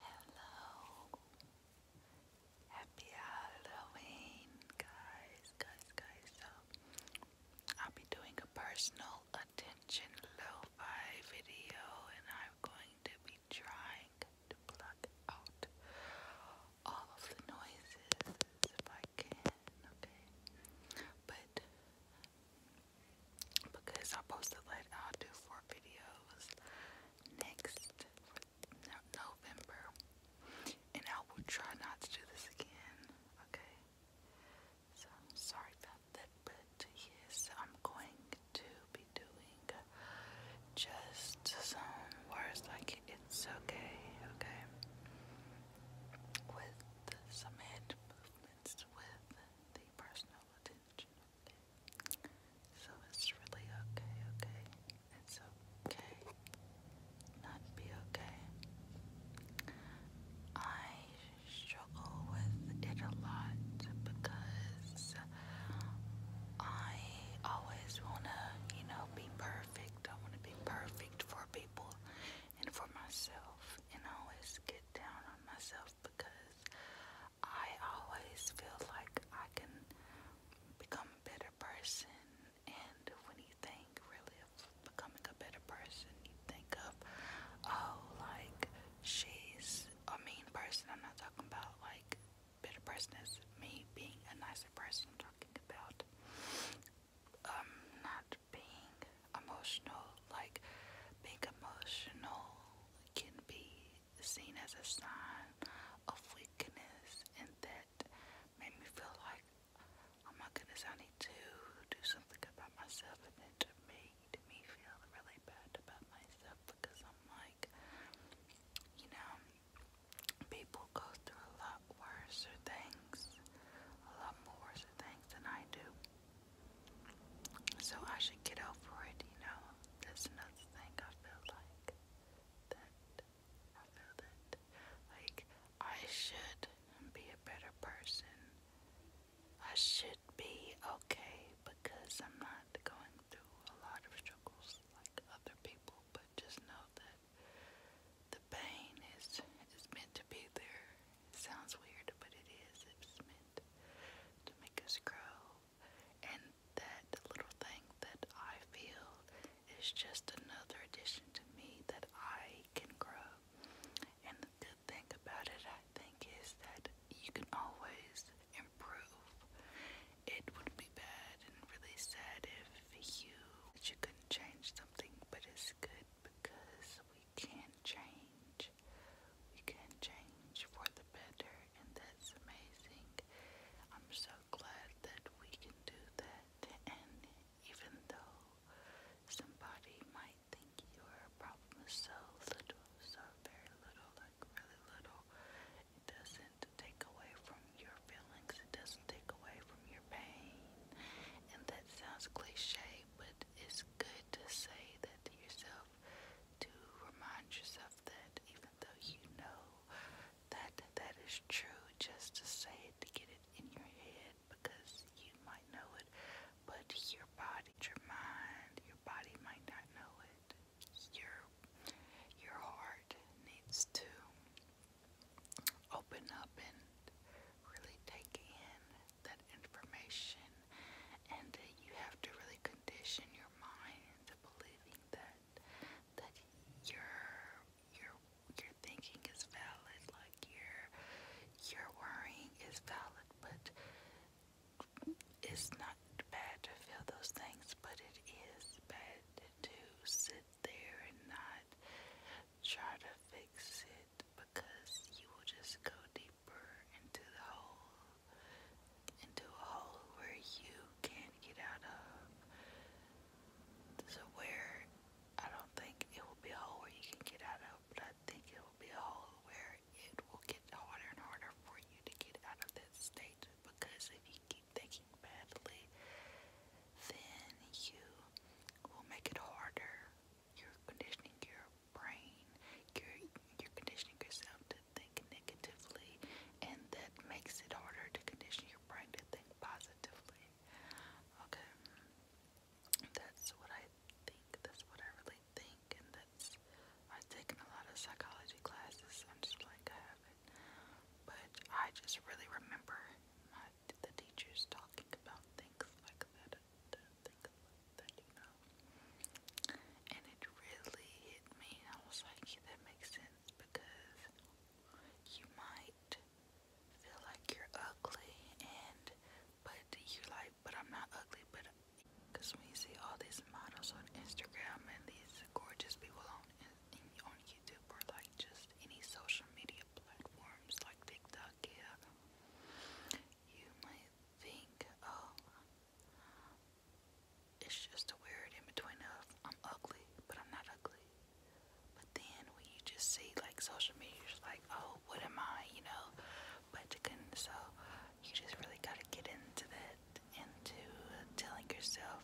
Hello. Happy Halloween, guys, guys, guys. So I'll be doing a personal attention lo-fi video and I'm going to be trying to pluck out all of the noises if I can, okay? But because I posted like i do four videos next no November, and I will try not to do this again. Okay, so sorry about that, but yes, I'm going to be doing just some words like it's okay, okay, with some head movements with the personal attention. So it's really okay, okay? It's okay. Not be okay. I struggle with it a lot because I always want to, you know, be perfect. I want to be perfect for people and for myself. And always get down on myself because I always feel like I can become a better person. And when you think really of becoming a better person, you think of, oh, like she's a mean person. I'm not talking about like better person as me being a nicer person. I'm talking about um, not being emotional. Like being emotional can be seen as a sign of weakness, and that made me feel like, oh my goodness, I need to do something about myself, and it made me feel really bad about myself because I'm like, you know, people go through a lot worse things, a lot more worse things than I do. So I should get over it, you know. Um, another thing I feel like that I feel that like I should be a better person. I should be okay because I'm not going through a lot of struggles like other people, but just know that the pain is is meant to be there. It sounds weird, but it is. It's meant to make us grow and that little thing that I feel is just another addition to me that I can grow. And the good thing about it, I think, is that you can always improve. It would be bad and really sad if you that you couldn't change something, but it's good because we can change. We can change for the better and that's amazing. I'm so glad that we can do that, and even though somebody might think your problem so little, so very little, like really little, it doesn't take away from your feelings, it doesn't take away from your pain. And that sounds cliche, but it's good to say that to yourself to remind yourself even though you know that that is true, just to say it to get it in your head because you might know it, but your body, your mind, your body might not know it. Your your heart needs to open up and really take in that information, and uh, you have to really condition your mind into believing that that your your your thinking is valid, like your your worrying is valid, but it's not bad to feel those things, but it is bad to sit there and not try to fix it because you will just go deeper into the hole into a hole where you can't get out of. So where I don't think it will be a hole where you can get out of, but I think it will be a hole where it will get harder and harder for you to get out of that state because if you keep thinking badly, then you will make it harder. You're conditioning your brain, you're, you're conditioning yourself to to think negatively, and that makes it harder to condition your brain to think positively. Okay, that's what I think, that's what I really think, and that's I've taken a lot of psychology classes, I'm just like, I haven't, but I just really remember my, the teachers talking about things like that, things like that, you know. And it really hit me, and I was like, yeah, that makes sense because you might feel like you're ugly and but you're like but I'm not ugly but because when you see all these models on Instagram and these gorgeous people on on YouTube or like just any social media platforms like TikTok yeah you might think oh it's just a word in between of I'm ugly, but I'm not ugly. But then when you just see like social media, like, oh, what am I, you know? But you so you just really gotta get into that, into telling yourself,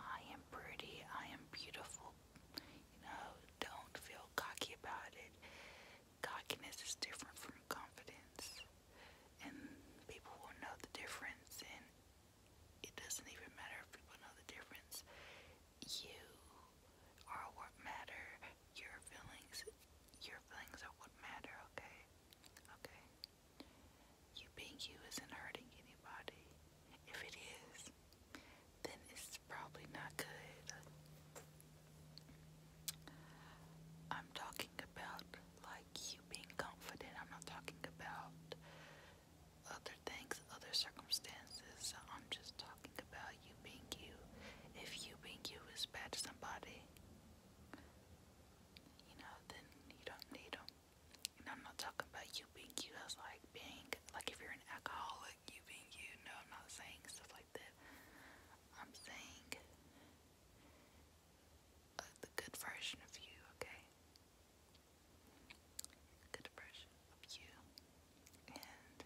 I am pretty, I am beautiful. You know, don't feel cocky about it. Cockiness is different from confidence, and people will know the difference. And it doesn't even matter if people know the difference. You are what matter. Your feelings, your feelings are what matter. Okay, okay. You being you isn't hurting anybody. If it is, then it's probably not good. I'm talking about like you being confident. I'm not talking about other things, other circumstances. I'm just talking about you being you. If you being you is bad to somebody, you know, then you don't need them. And I'm not talking about you being you as like being, like if you're an alcoholic, you being you. No, I'm not saying stuff like that. I'm saying the good version of you, okay? Good version of you. And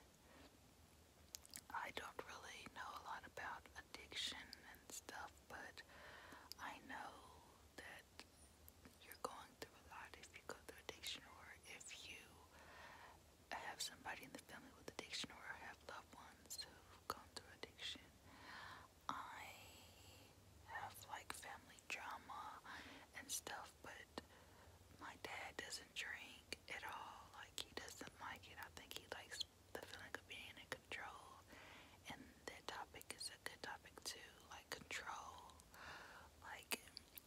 I don't really know a lot about addiction and stuff, but I know that you're going through a lot if you go through addiction or if you have somebody in the family with addiction or have loved ones who've gone through addiction. I have like family drama and stuff, but my dad doesn't drink at all. Like he doesn't like it. I think he likes the feeling of being in control, and that topic is a good topic too. Like control. Like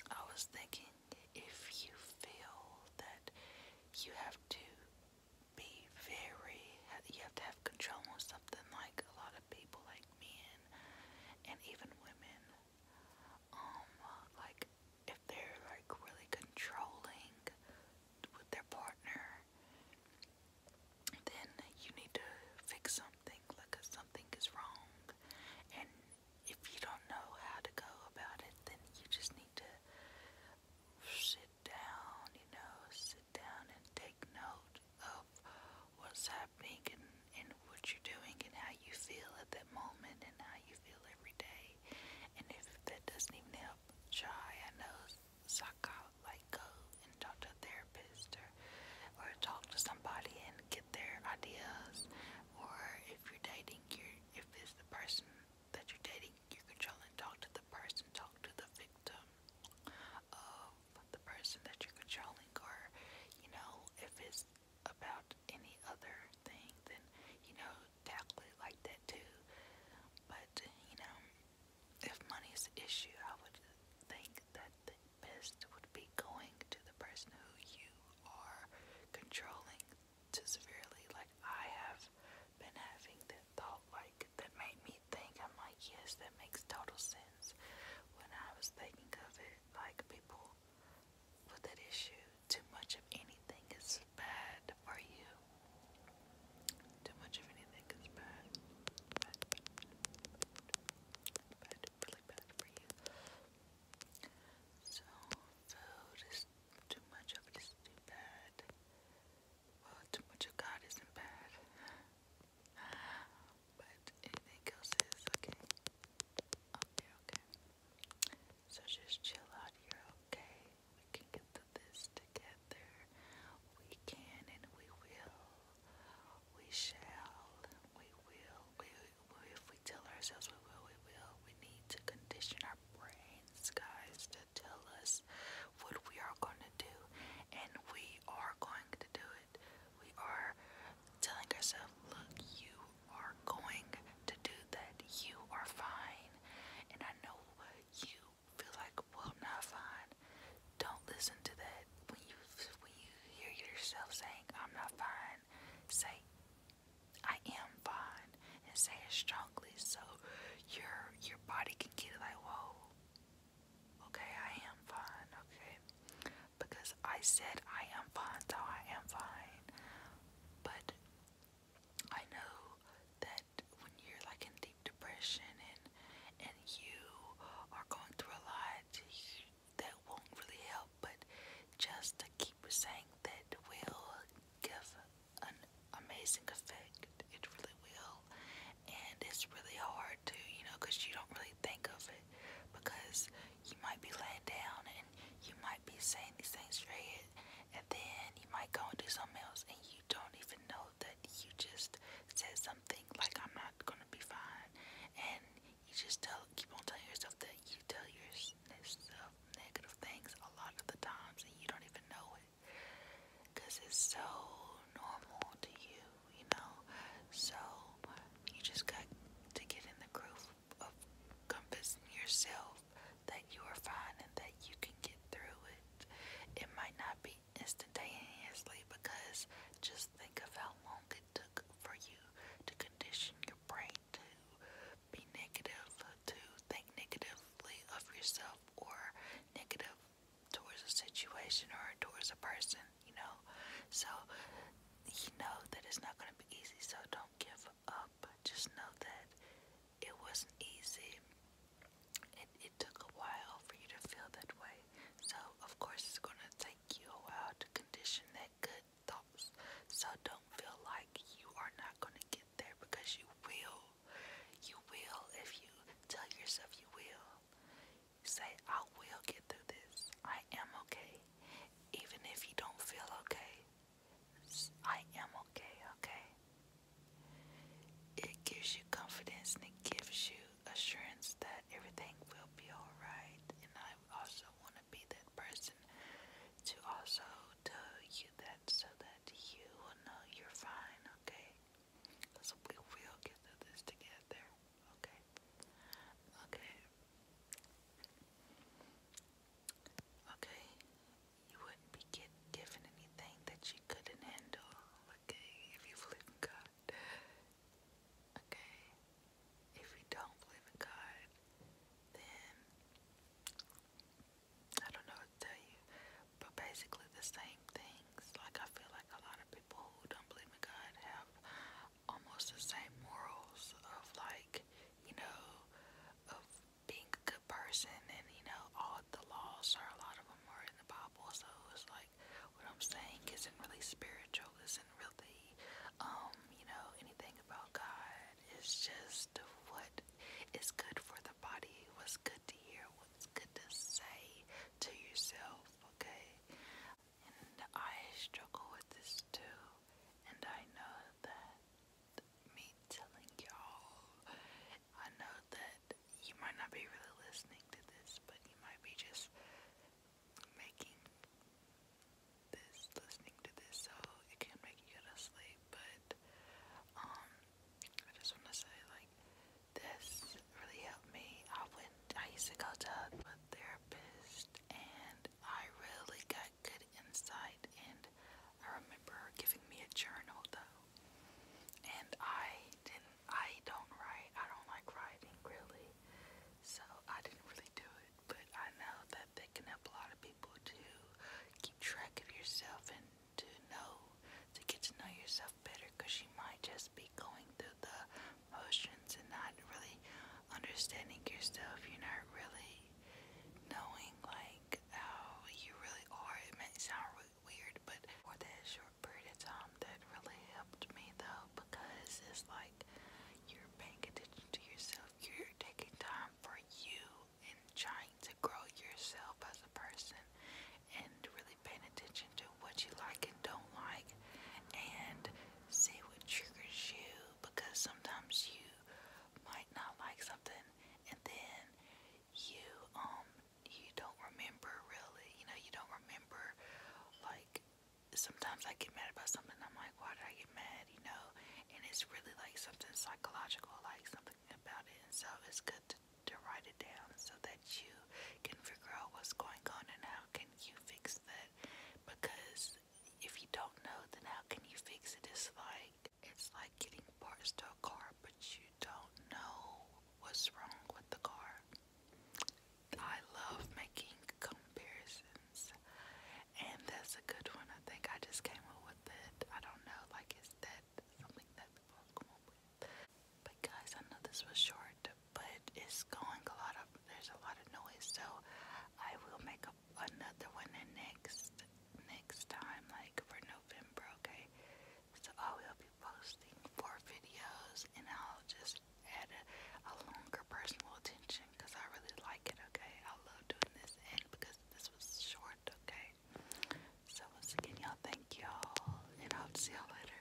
I was thinking, if you feel that you have to be very, you have to have control on something, like a lot of people people like men and even women um, like if they're like really controlling with their partner then you need to fix something like something is wrong and if you don't know how to go about it then you just need to sit down you know sit down and take note of what's happening and, what you're doing and how you feel at that moment and how you feel every day. And if that doesn't even help, try, I know, suck out, like go and talk to a therapist or, or talk to somebody and get their ideas. Or if you're dating, you're, if it's the person that you're dating, you can try and talk to the person, talk to the victim the person that you're controlling, or you know, if it's about any other thing, then you know, tackle it like that too. But you know, if money is an issue, I would think that the best would be going to the person who you are controlling too severely. Like, I have been having that thought, like, that made me think, I'm like, yes, that makes total sense. When I was thinking of it, like people with that issue, too much of anything is bad for you. Too much of anything is bad. Bad, really bad for you. So food is too much of it is too bad. Well, too much of God isn't bad. But anything else is okay. Oh, okay. So just chill out. You're okay. We can get through this together. We can and we will. We shall. We will. We, if we tell ourselves we will, we will. We need to condition our brains, guys, to tell us what we are going to do, and we are going to do it. We are telling ourselves, look, you are going to do that. You are fine. And I know you feel like, well, not fine. Don't listen to that. When you when you hear yourself saying, I'm not fine, say I am fine and say it strongly so your your body can get like, whoa, Okay, I am fine, okay? Because I said I am fine, so I am fine. But I know that when you're like in deep depression and and you are going through a lot, that won't really help. But just to keep saying that will give an amazing effect. It really will well. And it's really hard to, you know, because you don't really think of it. Because you might be laying down and you might be saying these things in your head. And then you might go and do something else and you don't even know that you just said something like, I'm not going to be fine. And you just tell, keep on telling yourself that you tell yourself negative things a lot of the times and you don't even know it. Because it's so normal to you you know? So you just got to get in the groove of convincing yourself that you are fine and that you can get through it. It might not be instantaneously because just think of how long it took for you to condition your brain to be negative, to think negatively of yourself or negative towards a situation or towards a person, you know. So you know that it's not gonna be easy, so don't give up. Just know that it wasn't easy. It it took a while for you to feel that way. So of course it's gonna take you a while to condition that good thoughts. So don't feel like you are not gonna get there because you will. You will if you tell yourself you will. Say, I will get through this. I am okay. Even if you don't feel okay, I am okay, okay? It gives you confidence and it gives you assurance that everything will be alright. And I also want to be that person to also tell you that so that you will know you're fine, okay? Because we will get through this together. Okay. Okay. Okay. You wouldn't be get, given anything that you couldn't handle. Okay. If you believe in God. Okay. If you don't believe in God, then I don't know what to tell you. But basically the same thing things. Like I feel like a lot of people who don't believe in God have almost the same morals of like, you know, of being a good person and you know, all the laws or a lot of them are in the Bible. So it's like what I'm saying isn't really spiritual, isn't really um, you know, anything about God. It's just what is good for the body, what's good to hear, what's good to say to yourself, okay? And I struggle with this too. And I know that me telling y'all, I know that you might not be really listening to this, but you might be just making this, listening to this, so it can make you go to sleep. But, um, I just want to say, like, this really helped me. I went I used to go to a therapist and I really got good insight and I remember giving me a journal though. And I didn't I don't write. I don't like writing really. So I didn't really do it. But I know that they can help a lot of people to keep track of yourself and to know to get to know yourself better because you might just be going through the oceans and not really understanding yourself. You're not really knowing like how you really are. It may sound weird, but for that short period of time, that really helped me though because it's like you're paying attention to yourself. You're taking time for you and trying to grow yourself as a person and really paying attention what you like and don't like and say what triggers you because sometimes you might not like something and then you um you don't remember really you know you don't remember like sometimes I get mad about something I'm like why did I get mad you know and it's really like something psychological like something about it and so it's good to, to write it down so that you can figure out what's going on and how can you fix because if you don't know then how can you fix it it's like it's like getting parts to a car but you don't know what's wrong with the car i love making comparisons and that's a good one i think i just came up with it i don't know like is that something that people come up with but guys i know this was short but it's going a lot of there's a lot of noise so I will make up another one next next time like for November okay so I will be posting four videos and I'll just add a, longer personal attention because I really like it okay I love doing this and because this was short okay so once again y'all thank y'all and I'll see y'all later